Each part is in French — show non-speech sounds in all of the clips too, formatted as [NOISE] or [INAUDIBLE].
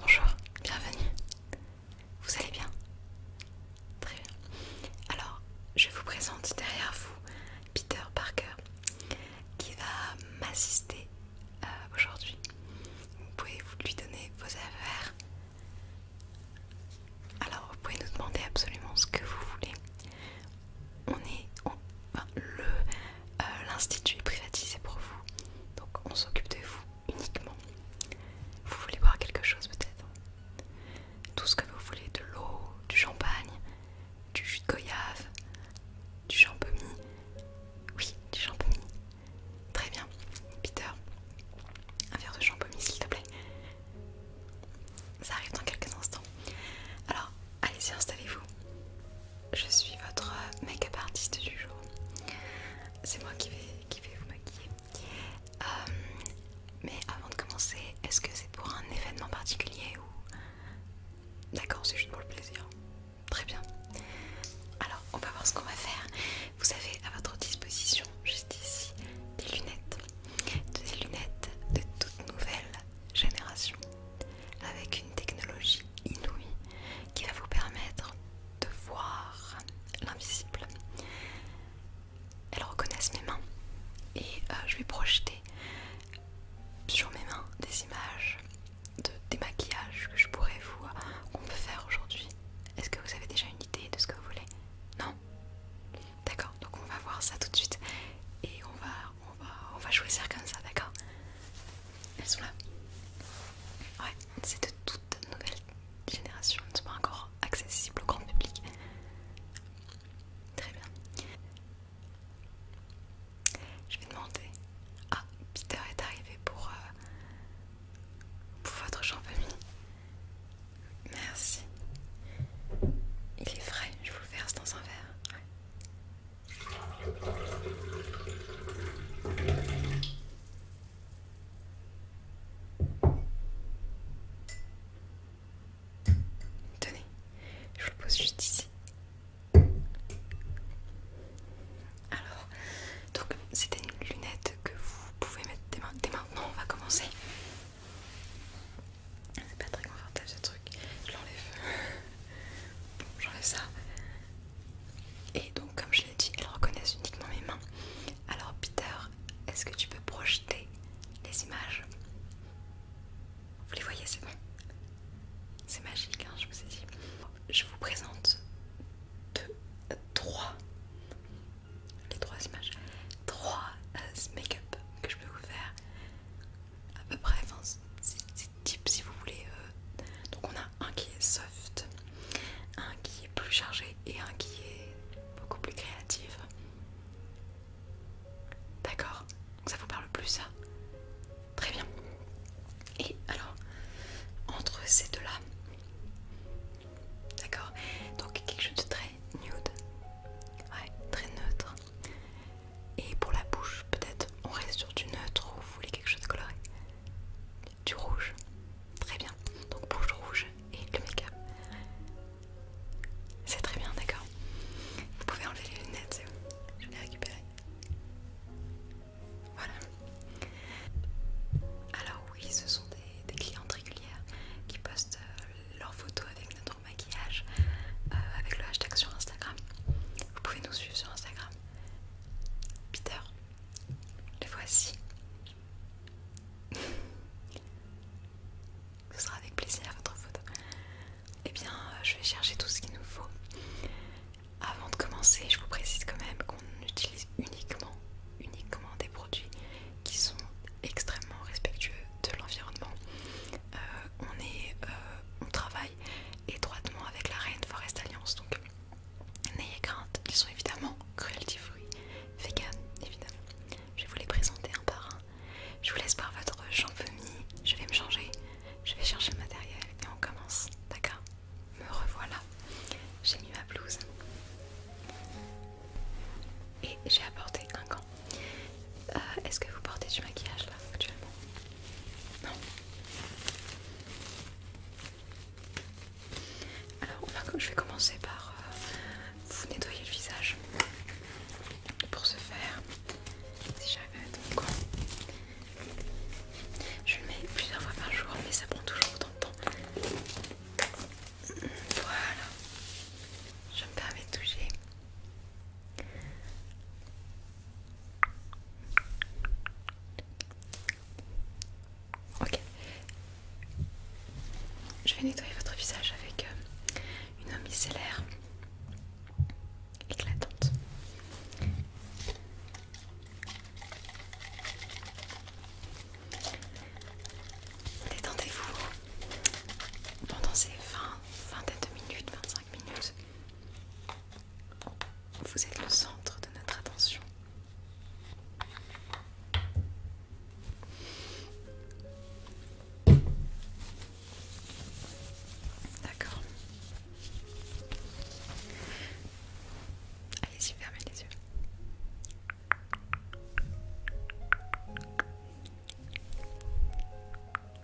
Bonjour, bienvenue. Vous allez bien Très bien. Alors, je vous présente derrière vous Peter Parker qui va m'assister euh, aujourd'hui. Vous pouvez vous lui donner vos affaires. Alors, vous pouvez nous demander absolument ce que vous voulez. On est enfin, le euh, l'institut est privatisé pour vous, donc on s'occupe de vous uniquement. Vous voulez boire quelque chose peut-être Tout ce que vous voulez, de l'eau, du champagne, du jus de goyave, du champomie. Oui, du champomie. Très bien. Peter, un verre de champomie s'il te plaît. Ça arrive dans quelques instants. Alors, allez-y, installez-vous je suis votre make-up artiste du jour. C'est moi qui vais, qui vais vous maquiller. Euh, mais avant de commencer, est-ce que c'est pour un événement particulier ou... D'accord, c'est juste pour le plaisir. Très bien. Alors, on va voir ce qu'on va faire. Vous avez à votre disposition, juste ici, des lunettes. Des lunettes de toute nouvelle génération. Avec une technologie inouïe qui va vous permettre de voir l'invisible. Elles reconnaissent mes mains et euh, je vais projeter sur mes mains des images de démaquillage que je pourrais vous euh, qu'on peut faire aujourd'hui. Est-ce que vous avez déjà une idée de ce que vous voulez Non D'accord, donc on va voir ça tout de suite et on va on va on va choisir comme ça, d'accord elles sont là. Ouais, c'est de toute nouvelle génération, elles ne sont pas encore accessibles au grand public. Très bien. Je vais demander. Ah, Peter est arrivé pour, euh, pour votre champ Merci. Il est frais, je vous verse dans un verre. Ouais. Tenez, je vous le pose juste ici. Alors, donc c'était une lunette que vous pouvez mettre dès, dès maintenant. On va commencer. C'est pas très confortable ce truc. Je l'enlève. Bon, [LAUGHS] j'enlève ça. Et donc, comme je l'ai dit, elles reconnaissent uniquement mes mains. Alors, Peter, est-ce que tu peux projeter les images Vous les voyez, c'est bon C'est magique, hein, je vous ai dit. Je vous présente deux, euh, trois, les trois images, 3 euh, make-up que je peux vous faire à peu près, type si vous voulez. Euh. Donc on a un qui est soft, un qui est plus chargé et un qui est beaucoup plus créatif. D'accord Donc ça vous parle plus ça Très bien. Et alors, entre ces deux-là, d'accord Donc quelque chose de très nude, ouais, très neutre, et pour la bouche, peut-être on reste sur du neutre ou vous voulez quelque chose de coloré Du rouge. Très bien. Donc bouche rouge et le make-up. C'est très bien, d'accord. Vous pouvez enlever les lunettes, Je vais les récupérer. Voilà. Alors oui, ce sont des, clientes régulières qui postent euh, leurs photos avec notre maquillage euh, avec le hashtag sur Instagram. Vous pouvez nous suivre sur Instagram. Peter, le voici. [LAUGHS] Ce sera avec plaisir votre photo. Eh bien, euh, je vais chercher tout ce qu'il nous faut. Avant de commencer, je vous précise quand même qu'on utilise uniquement, uniquement des produits qui sont extrêmement respectueux de l'environnement. Euh, on est, euh, on travaille étroitement avec la Reine Forest Alliance. Donc n'ayez crainte, ils sont évidemment cruelty free, vegan évidemment. Je vais vous les présenter un par un. Je vous laisse par votre champ je vais me changer, je vais chercher le matériel et on commence. D'accord Me revoilà. J'ai mis ma blouse. Et j'ai apporté un gant. Euh, est-ce que vous portez du maquillage là actuellement non. Alors, je vais commencer par euh, vous nettoyer le visage. Pour ce faire, si j'arrive à être je le mets plusieurs fois par jour, mais ça prend toujours autant de temps. Voilà. Je me permets de toucher Ok. Je vais nettoyer votre visage avec euh, une eau éclatante. Détendez-vous pendant ces 20, 22 minutes, 25 minutes. Vous êtes le centre de notre attention. D'accord. Allez-y, fermez les yeux.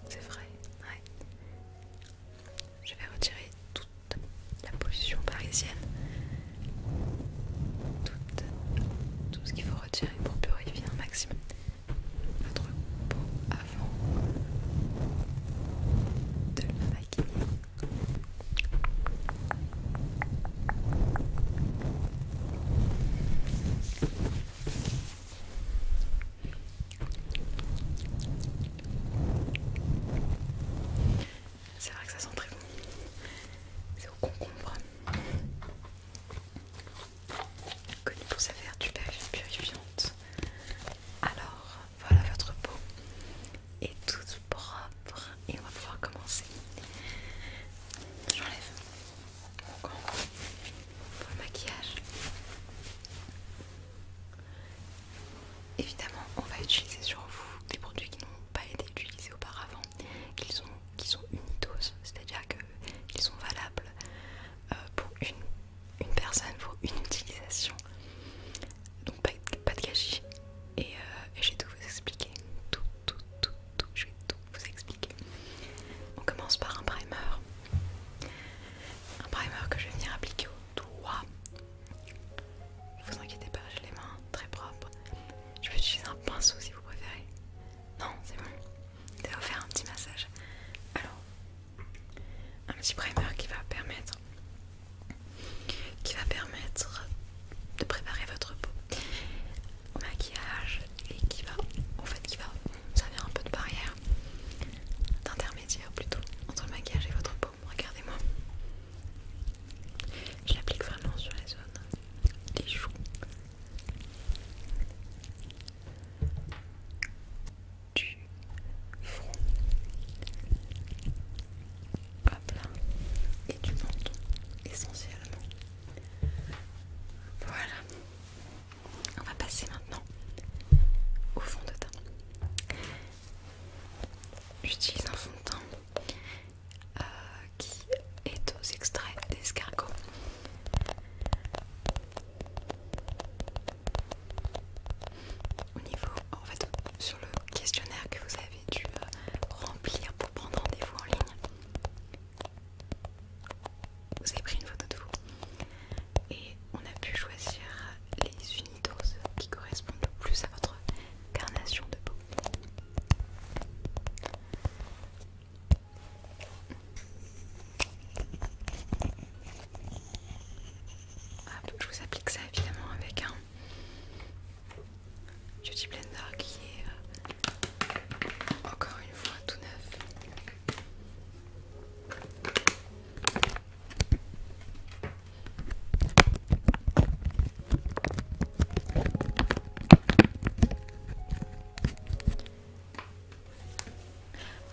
C'est vrai, ouais. Je vais retirer toute la pollution parisienne, tout ce qu'il faut retirer pour purifier un maximum votre peau avant de la maquiller. C'est vrai que ça sent très bon. C'est au concombre. Connu pour sa vertu purifiante. Alors, voilà votre peau est toute propre et on va pouvoir commencer. J'enlève pour le maquillage. Évidemment, on va utiliser sur vous des produits qui n'ont pas été utilisés auparavant, qui sont, qui sont c'est-à-dire qu'ils sont valables euh, pour une, personne, pour une utilisation. Donc pas, de gâchis. Euh, et je vais tout vous expliquer. Tout, tout, tout, tout, je vais tout vous expliquer. On commence par un primer. Un primer que je vais venir appliquer au doigt. Vous inquiétez pas, j'ai les mains très propres. Je vais utiliser un pinceau si vous préférez. Non, c'est bon. ça va vous faire un petit massage. Alors, un petit primer qui va permettre, qui va permettre de préparer votre peau au maquillage et qui va, en fait, qui va ça vient un peu de barrière, d'intermédiaire plutôt, entre le maquillage et votre peau. Regardez-moi. Je l'applique vraiment sur les zones des joues. Du front, et du menton essentiellement. Voilà, on va passer maintenant au fond de teint. J'utilise un fond de teint euh, qui est aux extraits d'escargot. Au niveau, en fait, sur le questionnaire que vous avez dû euh, remplir pour prendre rendez-vous en ligne, vous avez pris une photo de vous et on a pu choisir les unidoses qui correspondent le plus à votre carnation de peau. Ah, je vous applique ça évidemment avec un beauty blender qui est euh, encore une fois, tout neuf.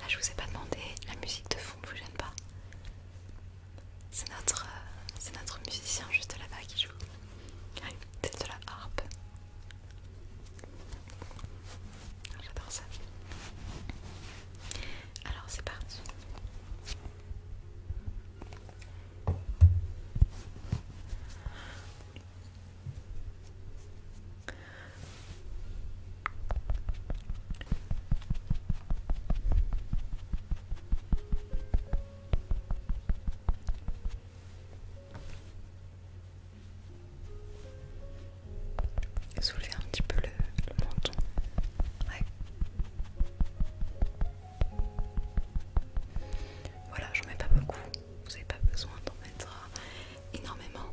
Ah, je vous ai pas demandé, la musique de fond ne vous gêne pas. C'est notre, euh, notre musicien juste là-bas qui joue. Oui, de la harpe. Ah, Alors c'est parti. Soulever un petit peu le, menton. Voilà, j'en mets pas beaucoup. Vous n'avez pas besoin d'en mettre euh, énormément.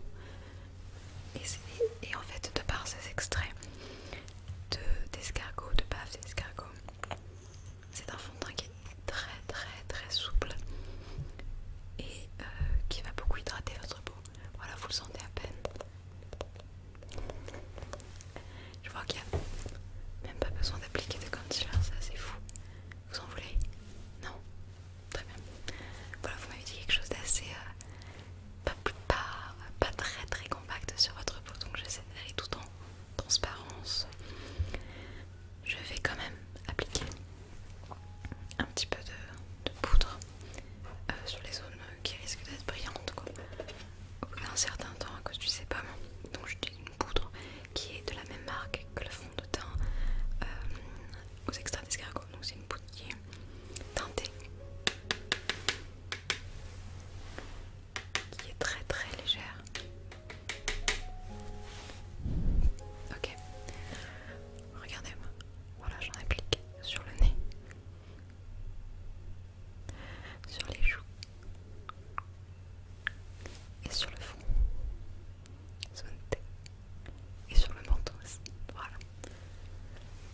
Et, en fait, de par ces extraits d'escargot, de, de d'escargot c'est un fond de teint qui est très très très souple et euh, qui va beaucoup hydrater votre peau. Voilà, vous le sentez à peine. Je vois qu'il n'y a même pas besoin d'appliquer de concealer, ça c'est fou. Vous en voulez Non Très bien. Voilà, vous m'avez dit quelque chose d'assez... Euh, pas, pas très très compact sur votre peau, donc j'essaie d'aller tout en transparence je vais quand même appliquer un petit peu de, poudre euh, sur les zones qui risquent d'être brillantes quoi. au d'un certain temps à cause du sébum donc j'utilise une poudre qui est de la même marque que le fond de teint euh, aux extraits d'escargot donc c'est une poudre qui est teintée qui est très très légère Ok. Regardez-moi. Voilà, j'en applique sur le nez. Sur les joues. Et sur le front. Et sur le menton aussi. Voilà.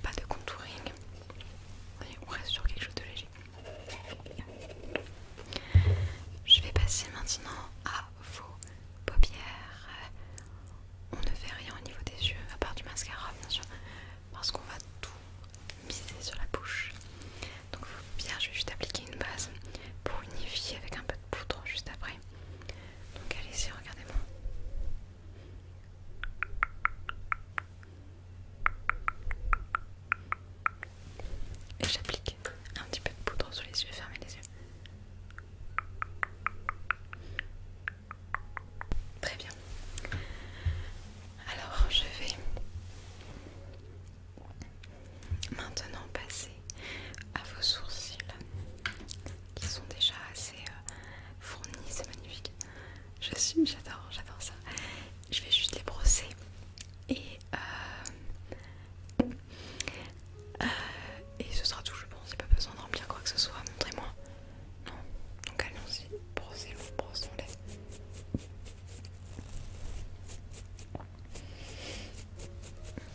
Pas de contouring. on reste sur quelque chose de léger. Je vais passer maintenant à vos paupières. On ne fait rien au niveau des yeux, à part du mascara bien sûr, parce qu'on va tout miser sur la bouche. Donc vos paupières, je vais juste appliquer une base pour unifier avec un peu de poudre juste après. Donc allez-y, regardez-moi et j'applique un petit peu de poudre sur les yeux, fermez les yeux. Très bien. Alors je vais maintenant passer à vos sourcils qui sont déjà assez euh, fournis, c'est magnifique. Je suis, j'adore, j'adore ça. Je vais juste les brosser et euh, euh, et ce sera tout, je pense. Il n'y a pas besoin de remplir quoi que ce soit. Montrez-moi. Non. Donc allons-y. Brossez vous brossez ton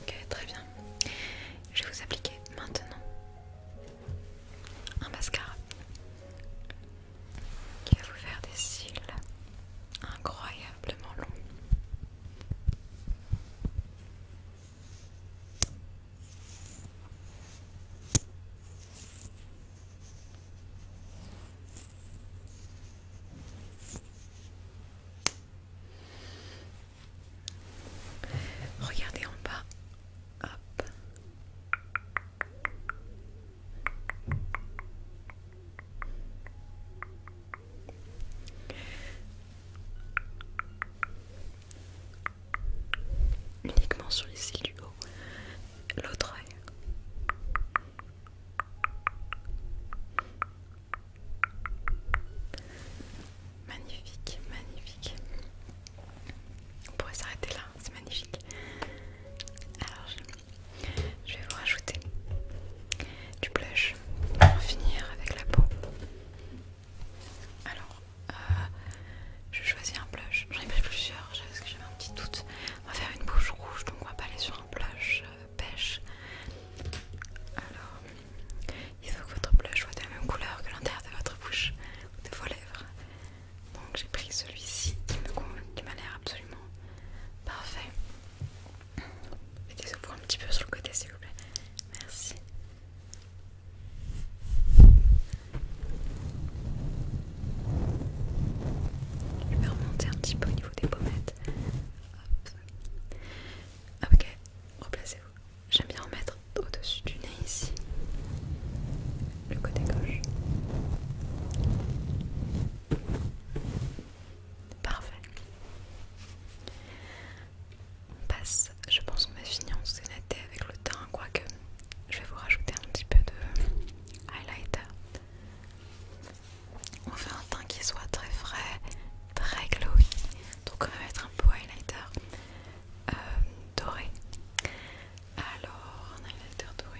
Ok, très bien. Je vais vous appliquer maintenant un mascara qui va vous faire des cils incroyablement long. Regardez en bas. Hop. Uniquement sur les cils du haut, l'autre œil. Magnifique, magnifique. On pourrait s'arrêter là, c'est magnifique. Alors, je vais vous rajouter du blush pour finir avec la peau. Alors, je euh, je choisis un blush. J'en ai pris plusieurs parce que j'avais un petit doute. On va faire une bouche rouge, donc on va pas aller sur un blush pêche. Euh, Alors, il faut que votre blush soit de la même couleur que l'intérieur de votre bouche ou de vos lèvres. Donc j'ai pris celui-ci qui m'a l'air absolument Parfait. Mettez vous un petit peu sur le côté s'il vous plaît. Merci. Je vais remonter un petit peu au niveau des pommettes. Ok, replacez-vous. J'aime bien mettre au-dessus du nez ici. Le côté gauche. Parfait. On passe, je pense qu'on va finir en sénaté avec le teint, quoique je vais vous rajouter un petit peu de highlighter. On fait un teint qui soit très frais, très glowy, donc on va mettre un peu highlighter euh, doré. Alors, un highlighter doré.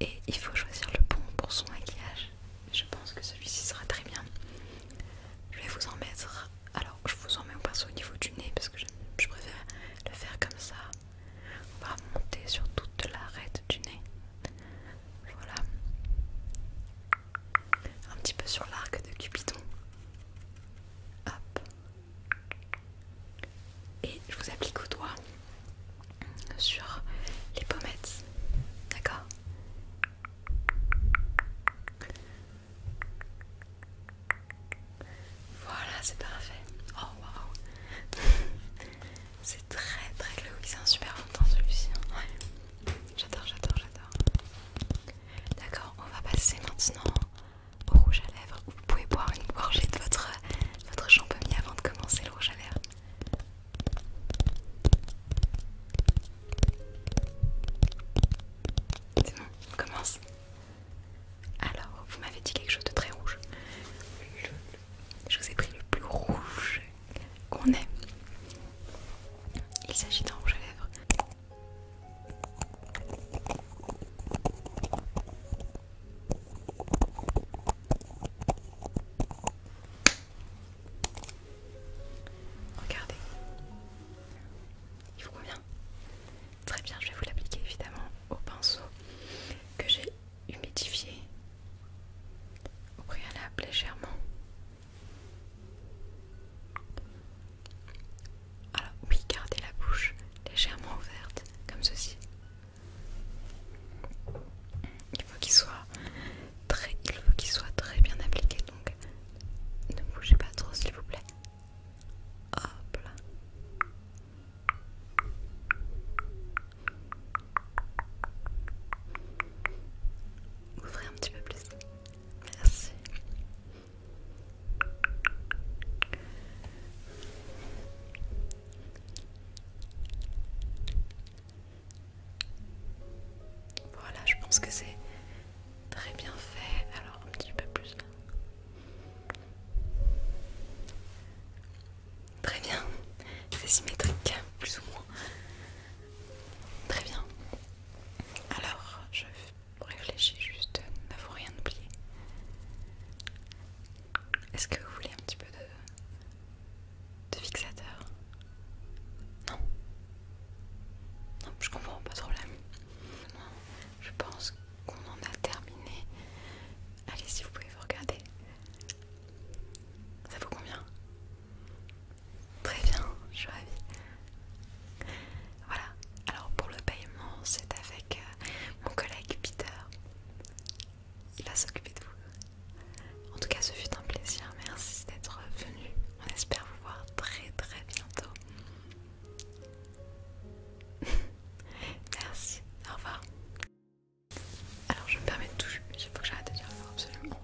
et il faut choisir le bon pour son maquillage. Je pense que celui-ci sera très bien. Je vais vous en mettre. Alors, je vous en mets au pinceau au niveau du nez parce que je, je préfère le faire comme ça. On va monter sur toute l'arête du nez. Voilà. Un petit peu sur l'arc de Cupidon. Hop. Et je vous applique au doigt sur les pommettes. D'accord Voilà, c'est parfait. Oh waouh C'est très très glauque, c'est un super fond celui-ci. Hein. J'adore, j'adore, j'adore. D'accord, on va passer maintenant au rouge à lèvres vous pouvez boire une gorgée de votre, votre avant de commencer le rouge à lèvres. C'est bon, on commence. Alors, vous m'avez dit quelque chose de très rouge. Je vous ai pris le plus rouge qu'on ait. Il s'agit d'un rouge à lèvres. Regardez. Il vous convient Très bien, je vais vous l'appliquer évidemment au pinceau que j'ai humidifié au préalable légèrement. Alors oui, gardez la bouche légèrement ouverte, comme ceci. Il faut qu'il soit très, il faut qu'il soit très bien appliqué, donc ne bougez pas trop, s'il vous plaît. Hop Ouvrez un petit peu plus. Merci. Voilà, je pense que c'est très bien fait. Alors, un petit peu plus là. Très bien, c'est symétrique, plus ou moins. Très bien. Alors, je réfléchis juste, faut rien oublier. Est-ce que vous voulez un petit peu de, de fixateur Non Non, je comprends pas de problème. Je pense qu'on en a terminé. Allez, si vous pouvez vous regarder. Ça vaut combien Très bien, je suis ravie. Voilà, alors pour le paiement, c'est avec euh, mon collègue Peter. Il va s'occuper de vous. En tout cas, ce fut un plaisir. Merci d'être venu. On espère vous voir très très bientôt. [LAUGHS] Merci. Au revoir. Alors, je me permets de toucher. Il faut que j'arrête de dire absolument.